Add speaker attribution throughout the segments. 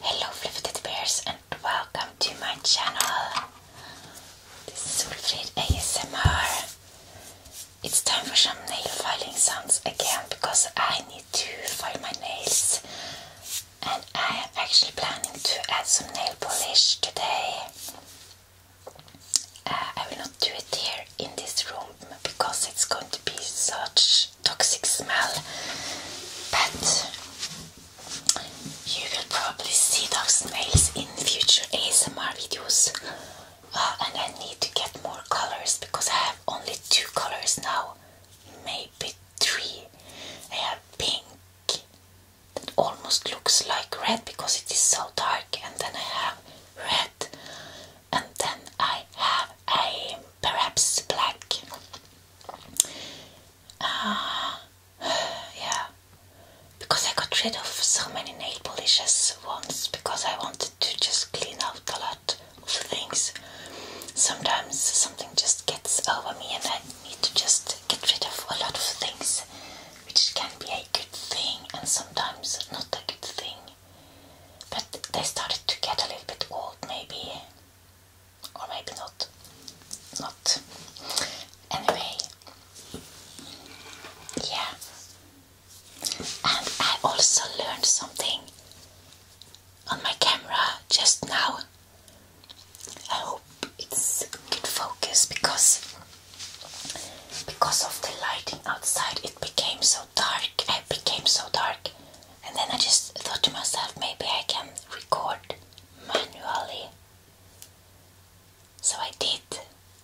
Speaker 1: Hello Fluffy Bears and welcome to my channel. This is Ulfrid ASMR. It's time for some nail filing sounds again because I need to file my nails and I am actually planning to add some nail polish today. Uh, I will not do it here in this room because it's going to be such toxic smell, but you will probably see those nails in future ASMR videos. Uh, and I need to get more colors because I have only two colors now, maybe three. I have pink that almost looks like red because it is so dark, and then I have red, and then I have a perhaps black. Uh, yeah, because I got rid of so many nail polishes once because I wanted to just clean out a lot of things. Sometimes something just gets over me and I need to just get rid of a lot of things, which can be a good thing and sometimes not a good thing. But they started to get a little bit old, maybe or maybe not not anyway yeah and I also learned something on my camera just now I hope it's good focus because because of the lighting outside it became so dark it became so dark and then I just thought to myself, maybe I can record manually. So I did,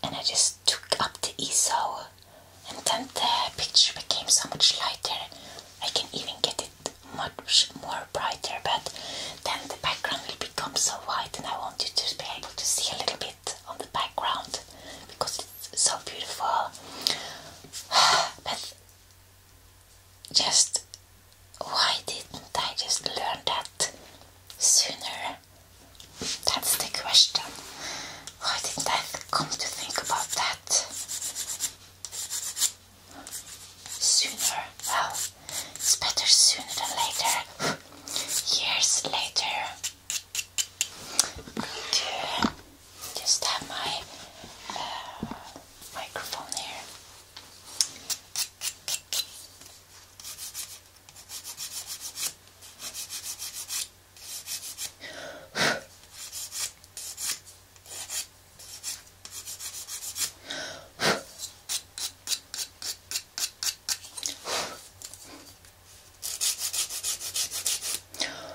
Speaker 1: and I just took up the ISO. and then the picture became so much lighter. I can even get it much more brighter, but then the background will become so white, and I want you to be able to see a little bit on the background because it's so beautiful. but just why didn't I just learn that sooner? That's the question. Why didn't I come to think about that sooner? Well, it's better sooner than later. Years later. To just have my uh, microphone here.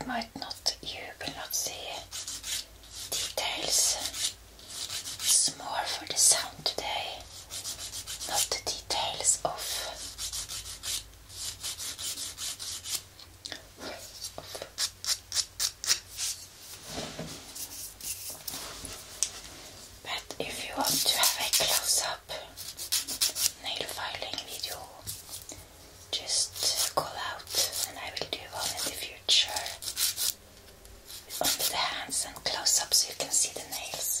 Speaker 1: You might not, you will not see details. It's more for the sound today, not the details of but if you want to have a close-up nail filing video, just call out and I will do one in the future. Only the hands and close-up so you can see the nails.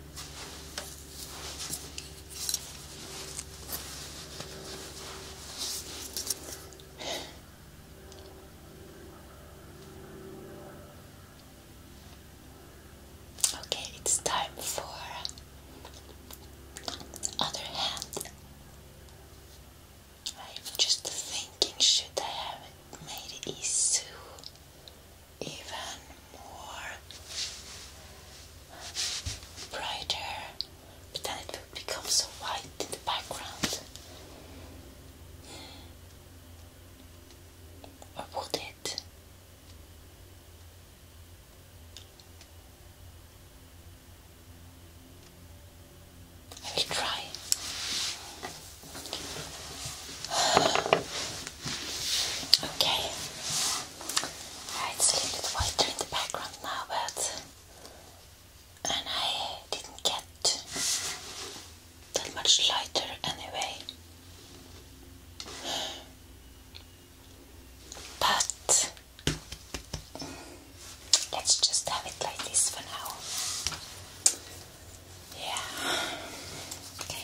Speaker 1: Okay, it's time for other hand. I'm just thinking, should I have made it isu even more brighter, but then it would become so white in the background. I will try. Okay. It's a little bit whiter in the background now, but and I didn't get that much lighter anyway. But let's just have it like this for now. Yeah. Okay.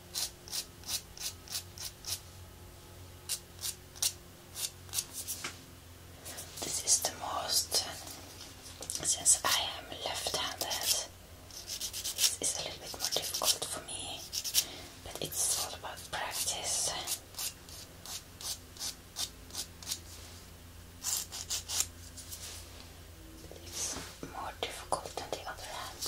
Speaker 1: This is the most, since I am left-handed, this is a little bit more difficult for me, but it's all about practice. it's more difficult than the other hand.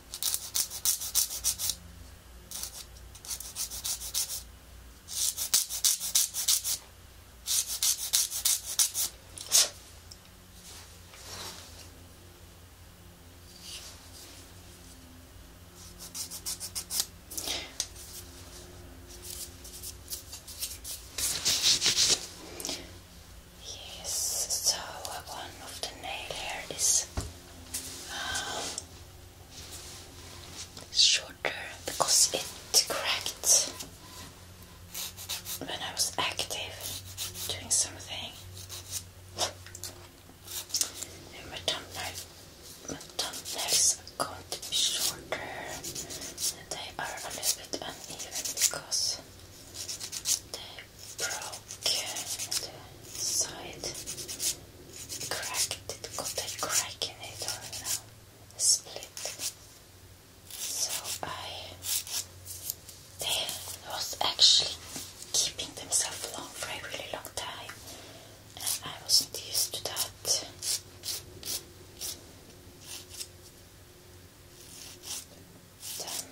Speaker 1: Yes, so one of the nail hairs. is shorter because it cracked when I was active doing something. And my thumbnails, my thumbnails are going to be shorter and they are a little bit uneven because they broke side, cracked it, got a crack in it or split. So I, they was actually keeping themselves long for a really long time and I wasn't used to that. Then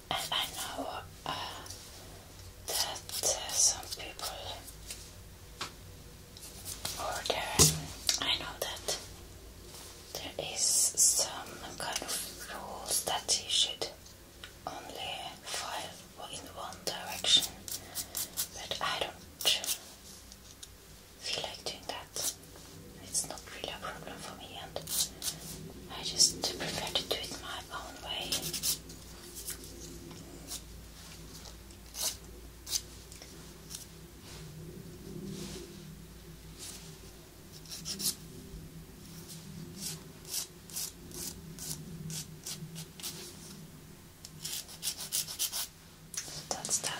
Speaker 1: I know uh, that some people order. I know that there is some kind of rules that you should only file in one direction, but I don't feel like doing that. It's not really a problem for me, and I just prefer to do it my own way. That's that.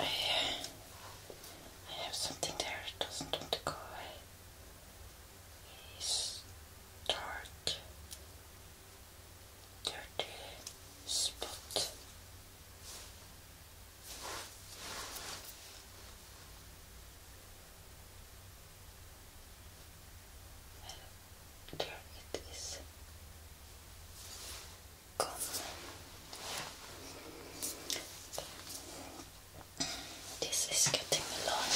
Speaker 1: I, I have something there, it doesn't want to go away. Yes dark, dirty spot. And there it is gone. This is getting long.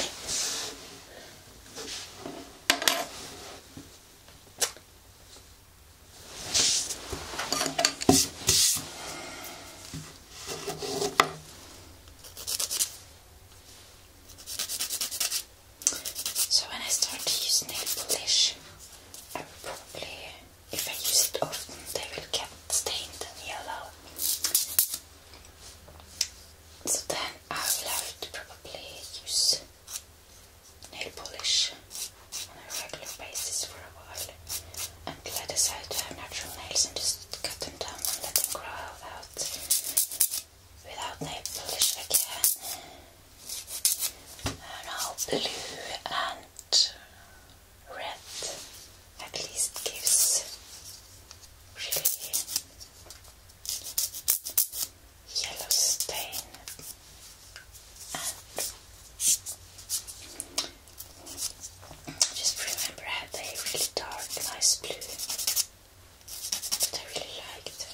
Speaker 1: So when I start to use nail polish, I will probably, if I use it often, they will get stained and yellow. So then I will have to probably use nail polish on a regular basis for a while until I decide to have natural nails and just cut them down and let them grow out without nail polish again. Now blue and red at least gives yellow stain just remember I had a really dark, nice blue that I really liked.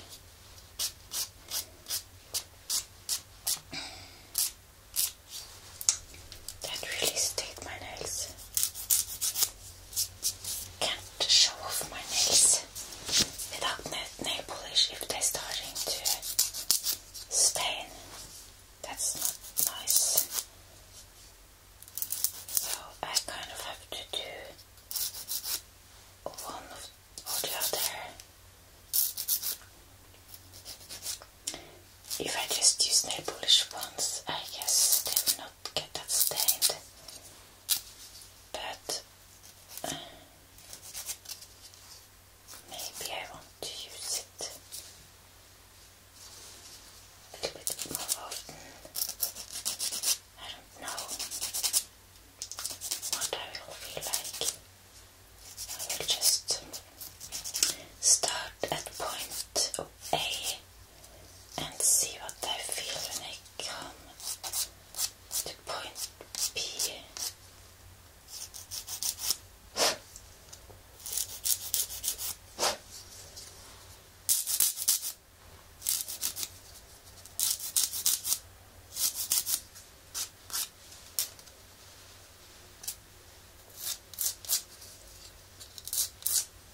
Speaker 1: That really stayed my nails can't show off my nails without nail polish if they're starting to stain. That's not nice. So I kind of have to do one of, the other. If I just use nail polish once, I guess they will not get that stained, but maybe I want to use it a little bit more often. I don't know what I will feel like. I will just start at point A and see what I feel when I come to point B.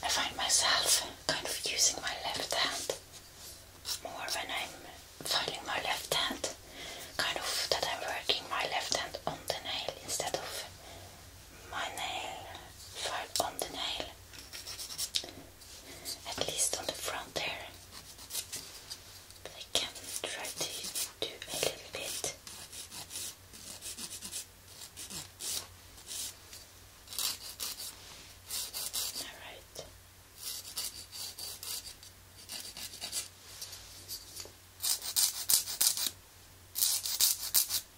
Speaker 1: I find myself kind of using my left hand more when I'm filing my left hand, kind of that I'm working my left hand on the nail instead of my nail, five on the nail, at least on the front there. I can try to do a little bit. Alright.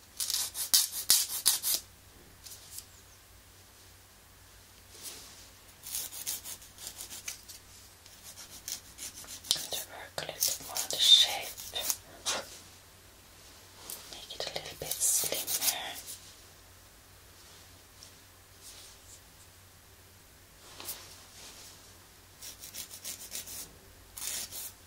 Speaker 1: work a little more on the shape, make it a little bit slimmer.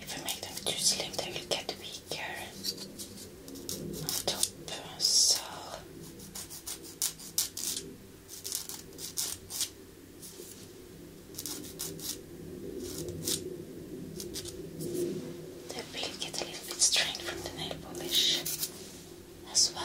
Speaker 1: If I make them too slim, they will get weaker on top. So they will get a little bit strained from the nail polish as well.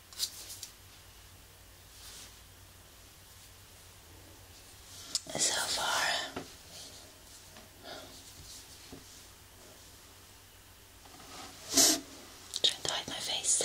Speaker 1: So far. Trying to hide my face.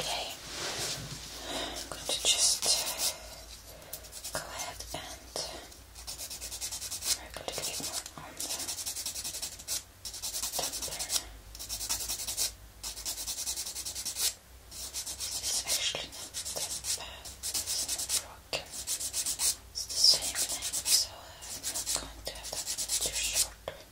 Speaker 1: Okay, I'm going to just go ahead and work a little bit more on the temper. It's actually not that it's not broken. It's the same length, so I'm not going to have that too short.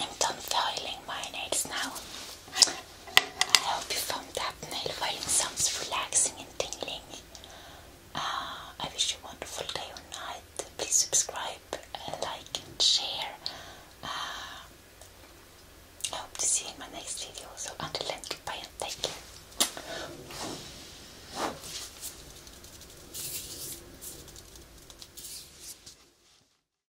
Speaker 1: I'm done filing my nails now. I hope you found that nail filing sounds relaxing and tingling. Uh, I wish you a wonderful day or night. Please subscribe, uh, like, and share. Uh, I hope to see in my next video. So until then, goodbye and take care.